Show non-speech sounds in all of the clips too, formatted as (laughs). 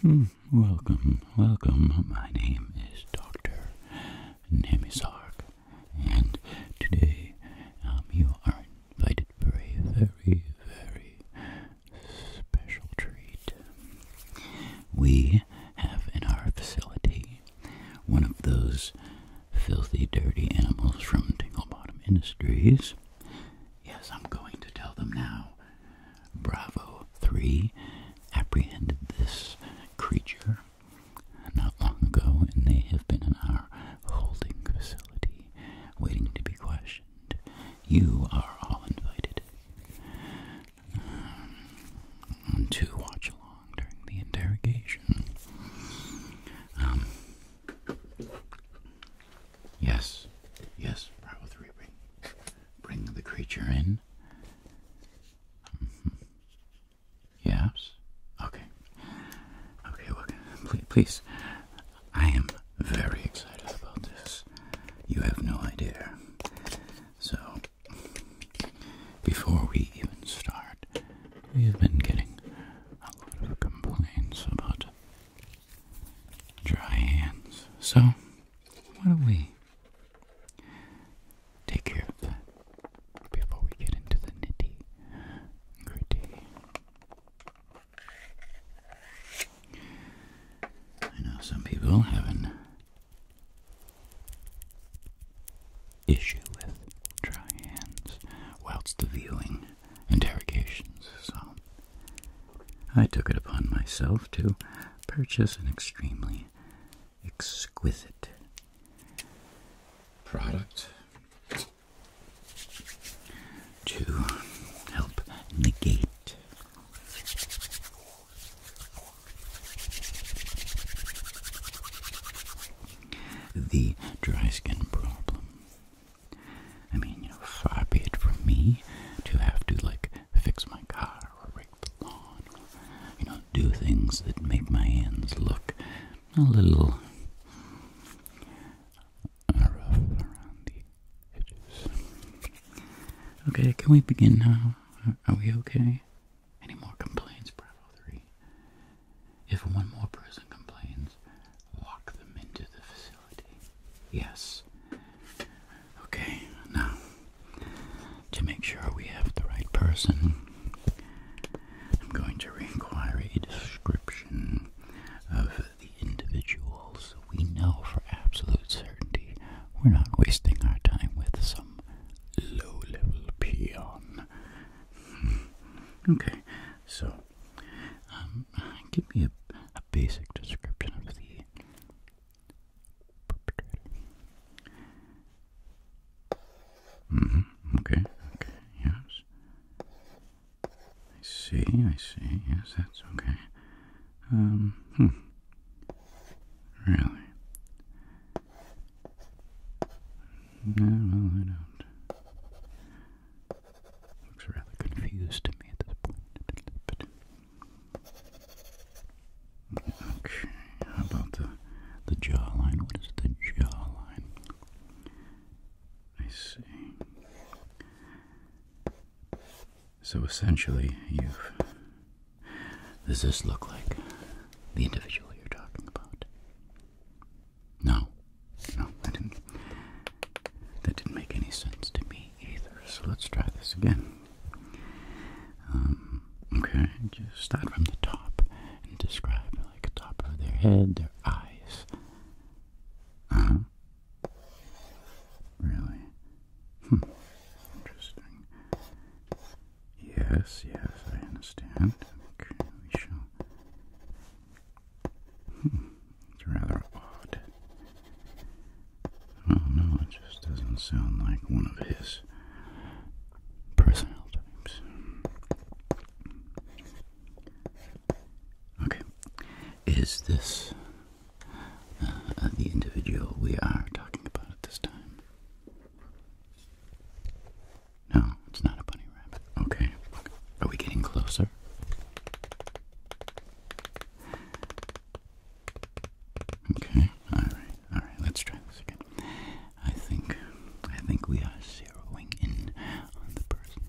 Hmm, welcome, welcome. My name is Dr. Nami and today um, you are invited for a very, very special treat. We have in our facility one of those filthy, dirty animals from Tingle Bottom Industries. Yes, I'm going to tell them now. Bravo 3 apprehended this creature not long ago, and they have been in our holding facility waiting to be questioned. You are all invited um, to watch along during the interrogation. Um, Yes, yes, Prowl Three, bring, bring the creature in. Mm -hmm. Yes. Okay. Okay. Look, please, please. I am very excited about this. You have no idea. So, before we even start, we have been getting a lot of complaints about dry hands. So, why don't we take care of that before we get into the nitty gritty? I know some people haven't issue with dry hands whilst viewing interrogations, so I took it upon myself to purchase an extremely exquisite product to help negate the dry skin problem I mean, you know, far be it from me to have to, like, fix my car or rake the lawn you know, do things that make my hands look a little rough around the edges. Okay, can we begin now? Are we okay? Any more complaints, Bravo 3? If one more person complains, lock them into the facility. Yes. Okay, now, to make sure we have the right person, I'm going to require a description of the individuals we know for absolute certainty we're not wasting our time with some low level peon. Hmm. Okay, so um, give me a, basic description of the perpetrator. Mm-hmm, okay, okay, yes. I see, I see, yes, that's okay. Um, hmm. Really? No, I don't. Looks rather confused to me at this point. Okay, about the the jawline? What is the jawline? I see. So essentially, you've. Does this look like the individual you're talking about? No, no, that didn't. That didn't make any sense to me either. So let's try this again. Um, okay, just start from the top and describe like the top of their head, their eyes. Uh huh. Really? Hmm. Interesting. Yes, yes, I understand. Okay, we shall it's rather odd. Oh no, it just doesn't sound like one of his personnel types. Okay, is this uh, the individual we are talking about at this time? No, it's not a bunny rabbit. Okay. Are we getting closer? Okay. All right. All right. Let's try this again. I think I think we are zeroing in on the person.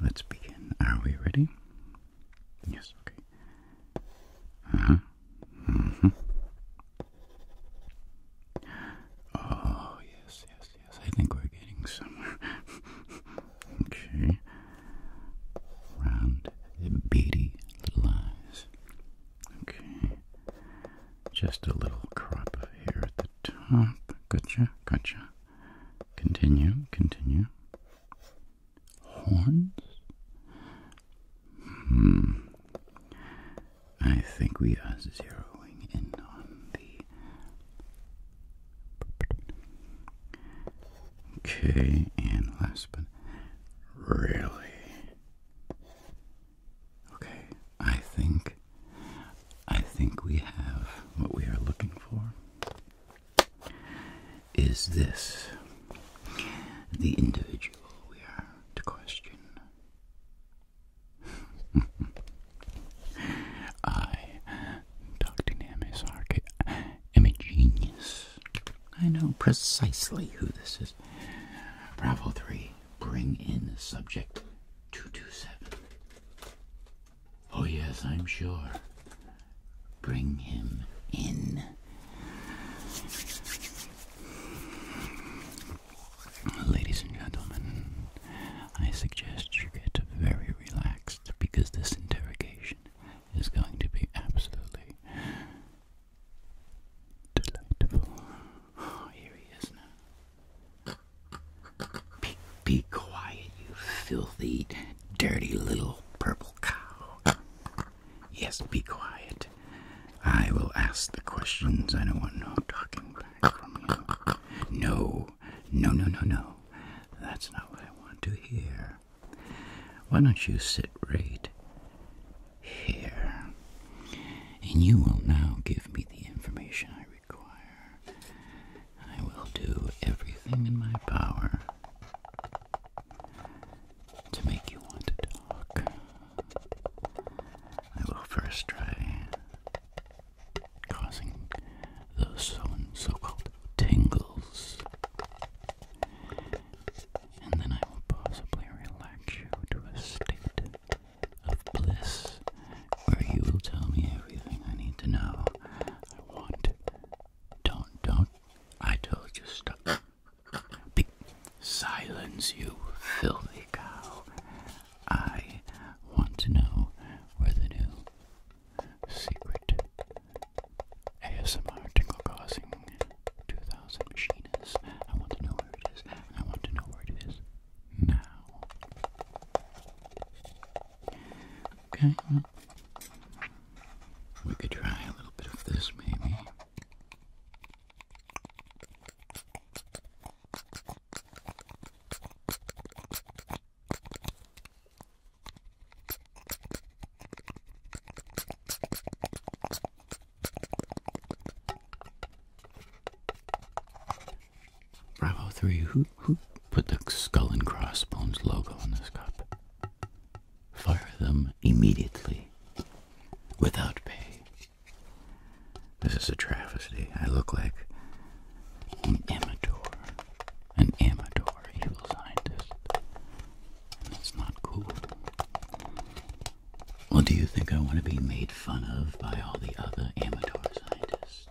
Let's begin. Are we ready? Yes. Okay. Uh huh. Mm-hmm. Oh yes, yes, I think we're getting somewhere. (laughs) okay. Round, beady eyes. Okay. Just a little crop of hair at the top. Gotcha, gotcha. Continue, continue. Horns? Hmm. I think we are zeroing in on the. Okay, and last but really. Okay, I think I think we have what we are looking for. Is this the individual we are to question? (laughs) I, Dr. Namasark, am a genius. I know precisely who this is. Bravo 3, bring in subject 227. Oh, yes, I'm sure. Bring him in. Ladies and gentlemen, I suggest you get very relaxed because this interrogation is going to be absolutely delightful. Oh, here he is now. Be, quiet, you filthy, dirty little purple cow. Yes, be quiet. I will ask the questions I don't want no talking no, no, no, no, no. That's not what I want to hear. Why don't you sit right here? And you will now give me the information I require. I will do everything in my power to make you want to talk. I will first try causing those so called tingles. And then I will possibly relax you to a state of bliss where you will tell me everything I need to know. I want. Don't, don't. I told you silence, you filthy cow. I want to know where the new secret ASMR tingle causing 2000 machines. I want to know where it is. I want to know where it is now. Okay, we could try a little bit of this maybe. Bravo 3, who, who put the Skull and Crossbones logo on this cup? Fire them immediately, without pay. This is a travesty. I look like an amateur, an amateur evil scientist. That's not cool. Well, do you think I want to be made fun of by all the other amateur scientists?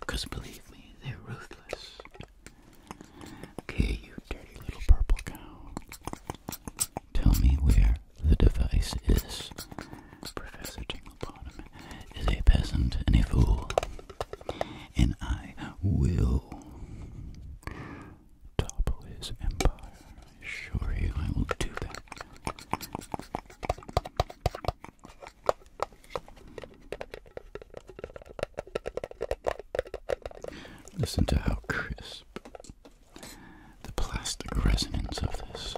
Because believe me, they're ruthless. Okay, you dirty little purple cow. Tell me where the device is. Professor Tinglebottom is a peasant and fool, and I will topple his empire. I I will do that. Listen to how crisp the plastic resonance of this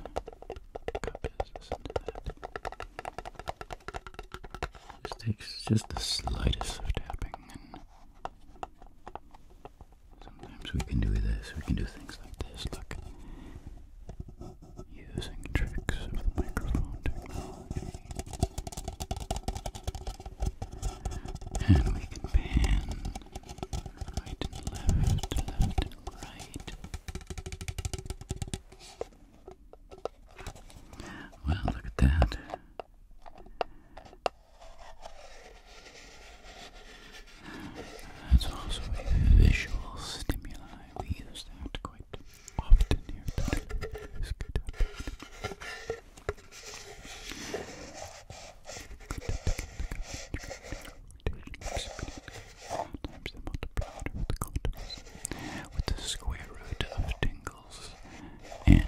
takes just the slightest of tapping, sometimes we can do this. We can do things like this. Look. Using tricks of the microphone technology. And we can pan Right and look at that. That's also visual stimuli. We use that quite often here times they multiplied with the contours, with the square root of tingles and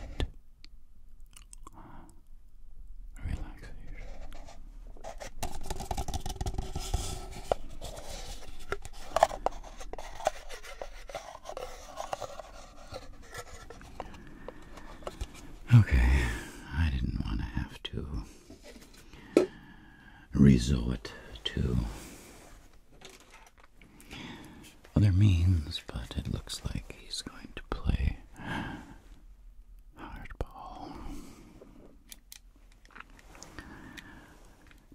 relaxation. Okay, I didn't want to have to resort to other means, but it looks like he's going to play hardball.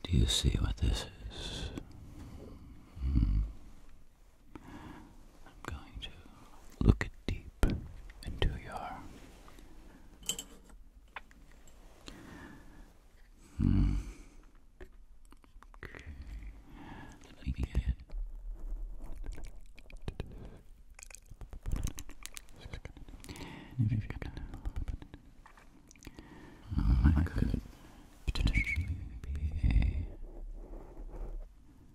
Do you see what this is? Hmm. I'm going to look deep into your mm. Let me get Oh, I could potentially be a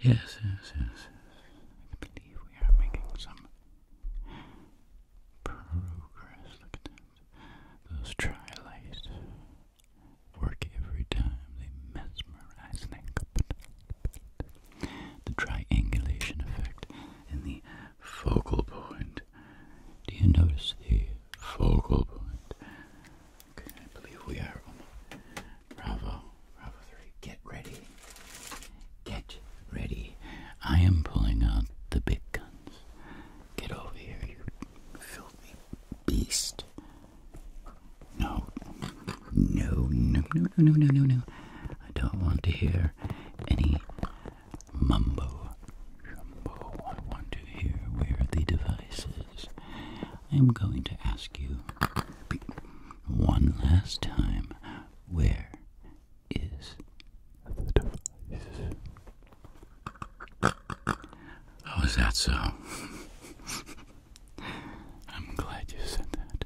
Yes, yes, yes. I believe we are making some progress. Look at Those trilates work every time. They mesmerize and The triangulation effect in the focal point. Do you notice the focal point? Okay, I believe we are Bravo, Bravo 3. Get ready. Get ready. I am pulling out the big guns. Get over here, you filthy beast. No. No, no, no, no, no, no, no. I don't want to hear any mumbo jumbo. I want to hear where the device is. I am going to ask you one last time where is the device? How is that so? (laughs) I'm glad you said that.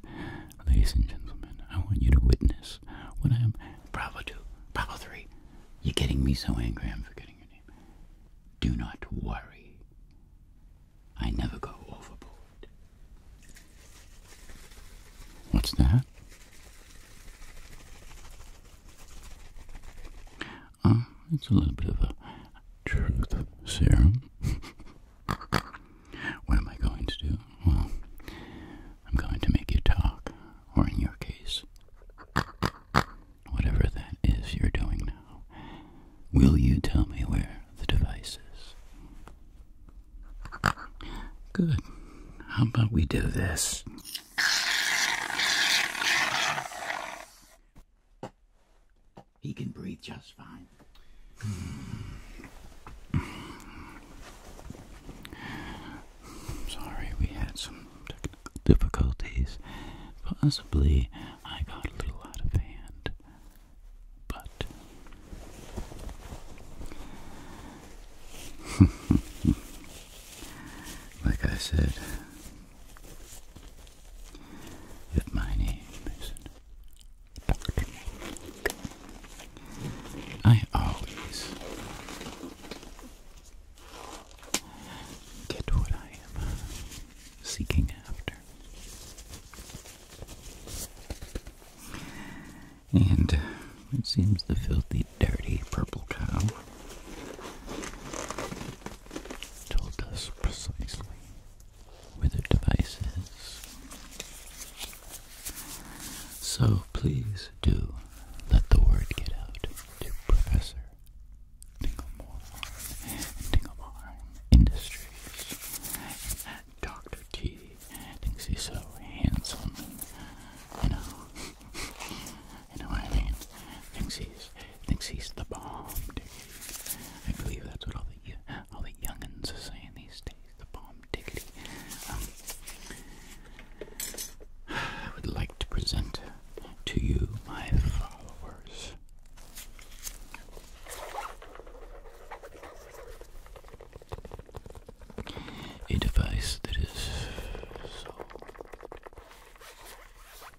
Ladies and gentlemen, I want you to witness when I am. Bravo 2, Bravo 3. You're getting me so angry, I'm forgetting your name. Do not worry. I never go overboard. What's that? Ah, it's a little bit of a truth serum. (laughs) what am I going to do? Well, I'm going to make you talk, or in your case, whatever that is you're doing now. Will you tell me where the device is? Good. How about we do this? He can breathe just fine. Hmm. Sorry, we had some difficulties. Possibly I got a little out of hand but (laughs) like I said, that my name is Dr. I always get what I am seeking after. And it seems the filthy, dirty purple cow told us precisely where the device is. So please do let the word get out to Professor Dinglemore and Industries and Dr. T he thinks he's so handsome you know, (laughs) you know what I mean? Thinks he's, thinks he's the bomb, dude. I believe that's what all the, all the youngins are saying these days, the bomb diggity. Um, I would like to present to you my followers a device that is so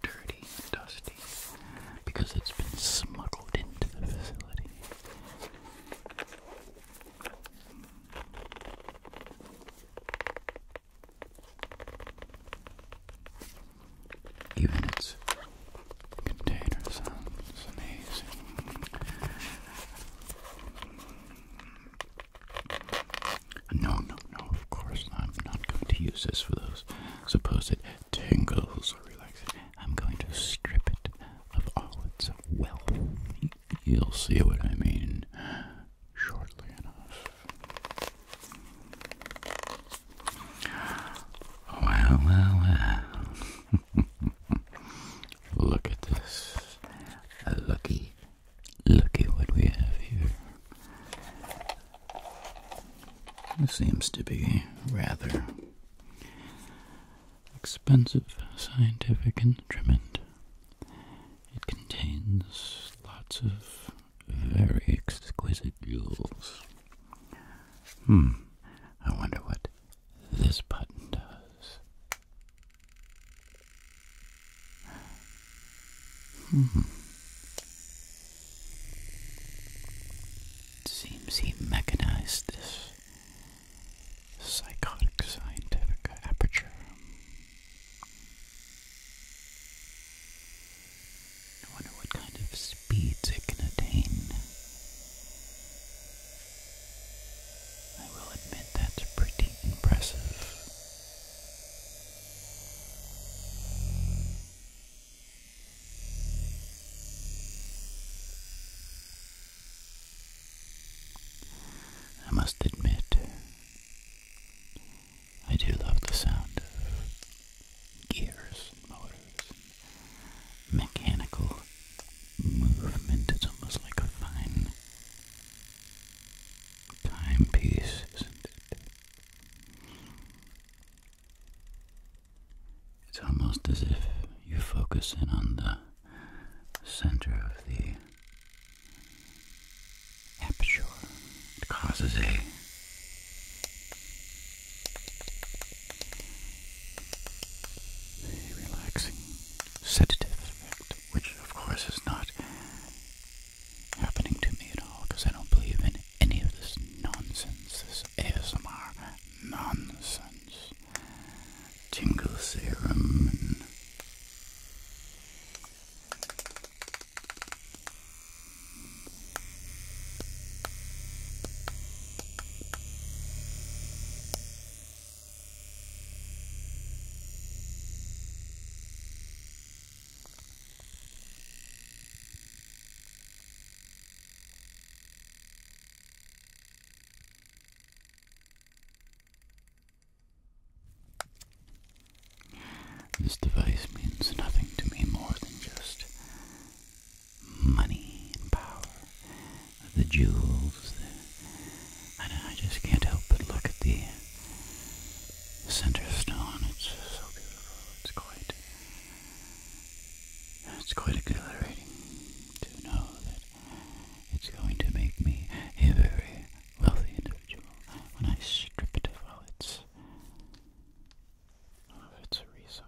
dirty and dusty because it's been smuggled into the facility. Even its container sounds amazing. No, no, no, of course I'm not going to use this for those supposed tingles or relaxation. I'm going to strip it of all its wealth. You'll see what I mean shortly enough. Well, well, well. (laughs) Look at this. A lucky, lucky what we have here. This seems to be rather expensive scientific instrument. It contains lots of very exquisite jewels. Hmm, I wonder what this button does. It hmm. seems he mechanized this psychotic scientific aperture. I wonder what kind of speeds it can attain. I will admit that's pretty impressive. I must admit, I do love the sound of gears and motors mechanical movement. It's almost like a fine timepiece, isn't it? It's almost as if you focus in on the center of the aperture. It causes a relaxing sedative effect, which of course is not happening to me at all because I don't believe in any of this nonsense, this ASMR nonsense, tingle serum this device means nothing to me more than just money and power, the jewels. The, I, just can't help but look at the center stone. It's so beautiful. It's quite, it's quite exhilarating to know that it's going to make me a very wealthy individual when I strip it of all its, a of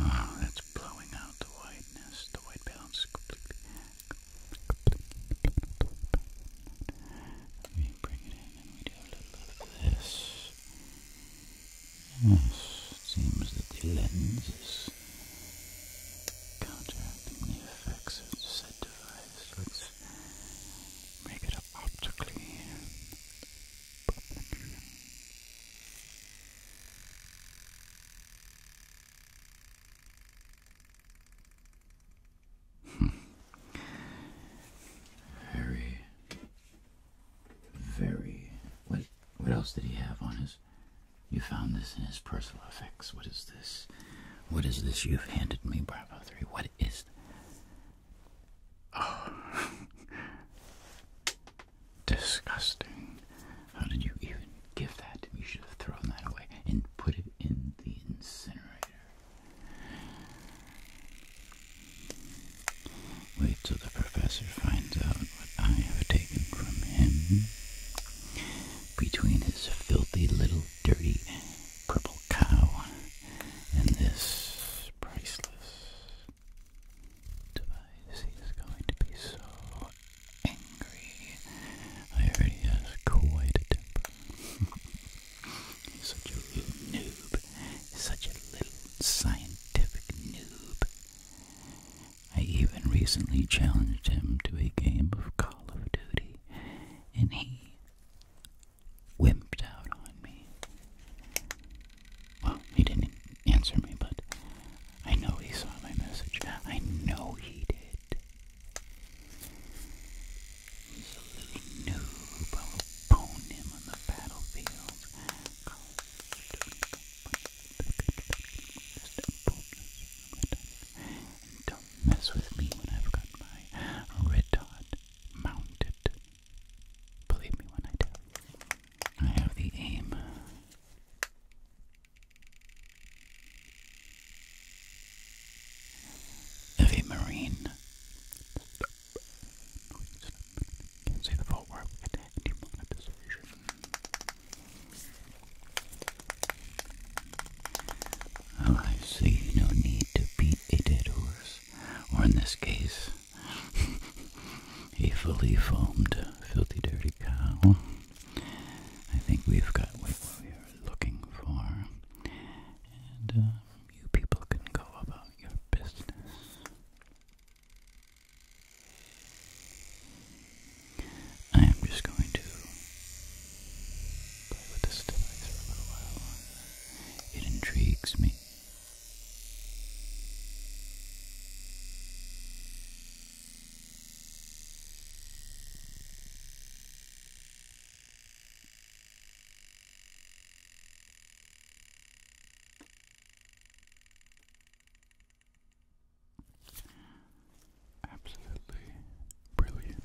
Ah, that's blowing out the whiteness. The white balance completely, We bring it in and we do a little of this. Yes, it seems that the lens is counteracting the effects of the device. Let's make it optically very, very. What? What else did he have on his? You found this in his personal effects. What is this? What is this you've handed me, Bravo Three? What is? Oh. (laughs) Disgusting. How did you even give that? You should have thrown that away and put it in the incinerator. Wait till the professor finds out what I have taken from him. Between his filthy little dirty purple cow and this priceless device is going to be so angry. I heard he has quite a temper. He's (laughs) such a little noob. Such a little scientific noob. I even recently challenged him to a game of Call of Duty, and he wimped out on me. Well, he didn't answer me, but I know he saw my message. I know he did. He's a little noob. I will pwn him on the battlefield. don't mess with me when I've got my red dot mounted. Believe me when I tell you. I have the aim. Of a marine. Can't see the fault where oh, I see no need to beat a dead horse, or in this case, (laughs) a fully foamed, filthy, dirty cow. I think we've got what we are looking for. And uh, you people can go about your business. I am just going to play with this device for a little while. It intrigues me. Absolutely brilliant.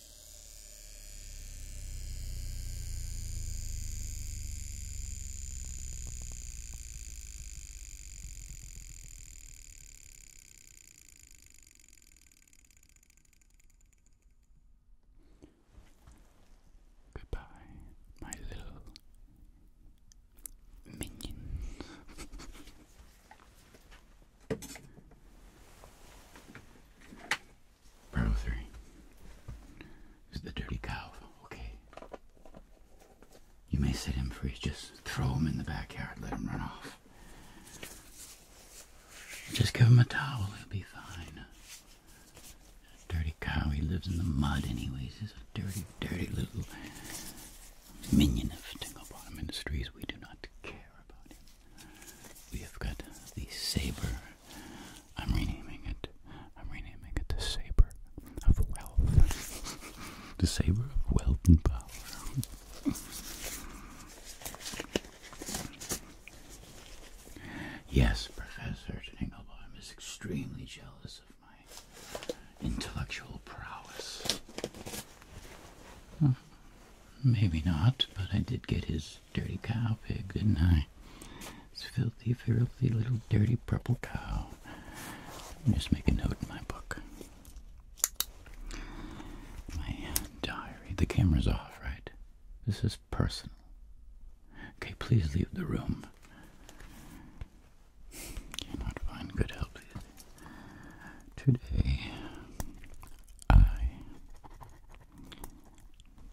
Goodbye, my little minions. (laughs) Burrow 3. This the dirty cow, okay? You may set him free, just throw him in the backyard, let him run off. Just give him a towel, he'll be fine. Dirty cow, he lives in the mud anyways. He's a dirty, dirty little minion of Tingle Bottom Industries. We do not care about him we have got the saber. I'm renaming it. I'm renaming it the saber of wealth. (laughs) the saber of wealth and power. yes, Professor Engelbaum is extremely jealous of my intellectual prowess. Maybe not, but I did get his dirty cow pig, didn't I? His filthy, filthy little dirty purple cow. Let me just make a note in my book. My diary. The camera's off, right? This is personal. Okay, please leave the room. Cannot find good help. Today, I,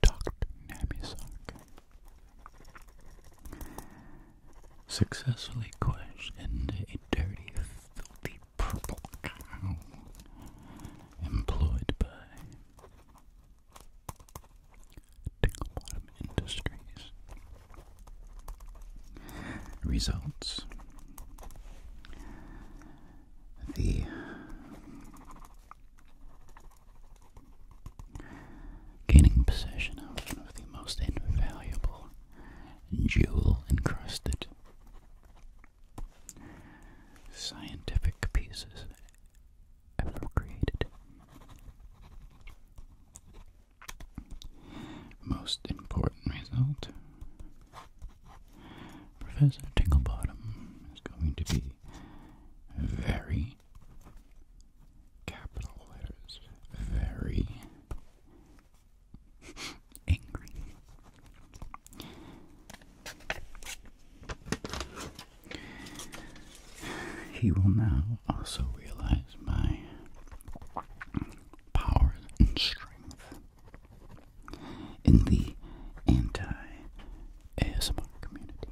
Dr. Namisak, successfully questioned a dirty, filthy purple cow employed by Tickle Industries. Results the gaining possession of the most invaluable jewel encrusted scientific pieces ever created. Most important result Professor Tinklebottom is going to be very capital letters, very (laughs) angry. He will now also realize my power and strength in the anti-ASMR community.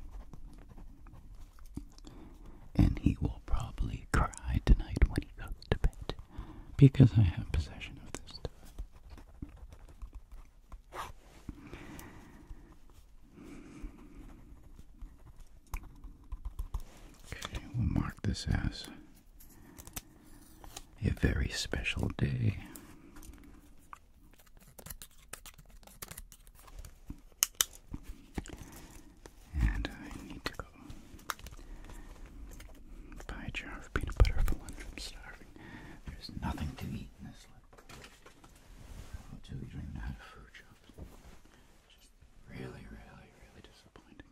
And he will probably cry tonight when he goes to bed because I have possession of this stuff. Okay, we'll mark this as a very special day. And I need to go buy a jar of peanut butter for I'm starving. There's nothing to eat in this do we drink out of food shops? Just really, really, really disappointing.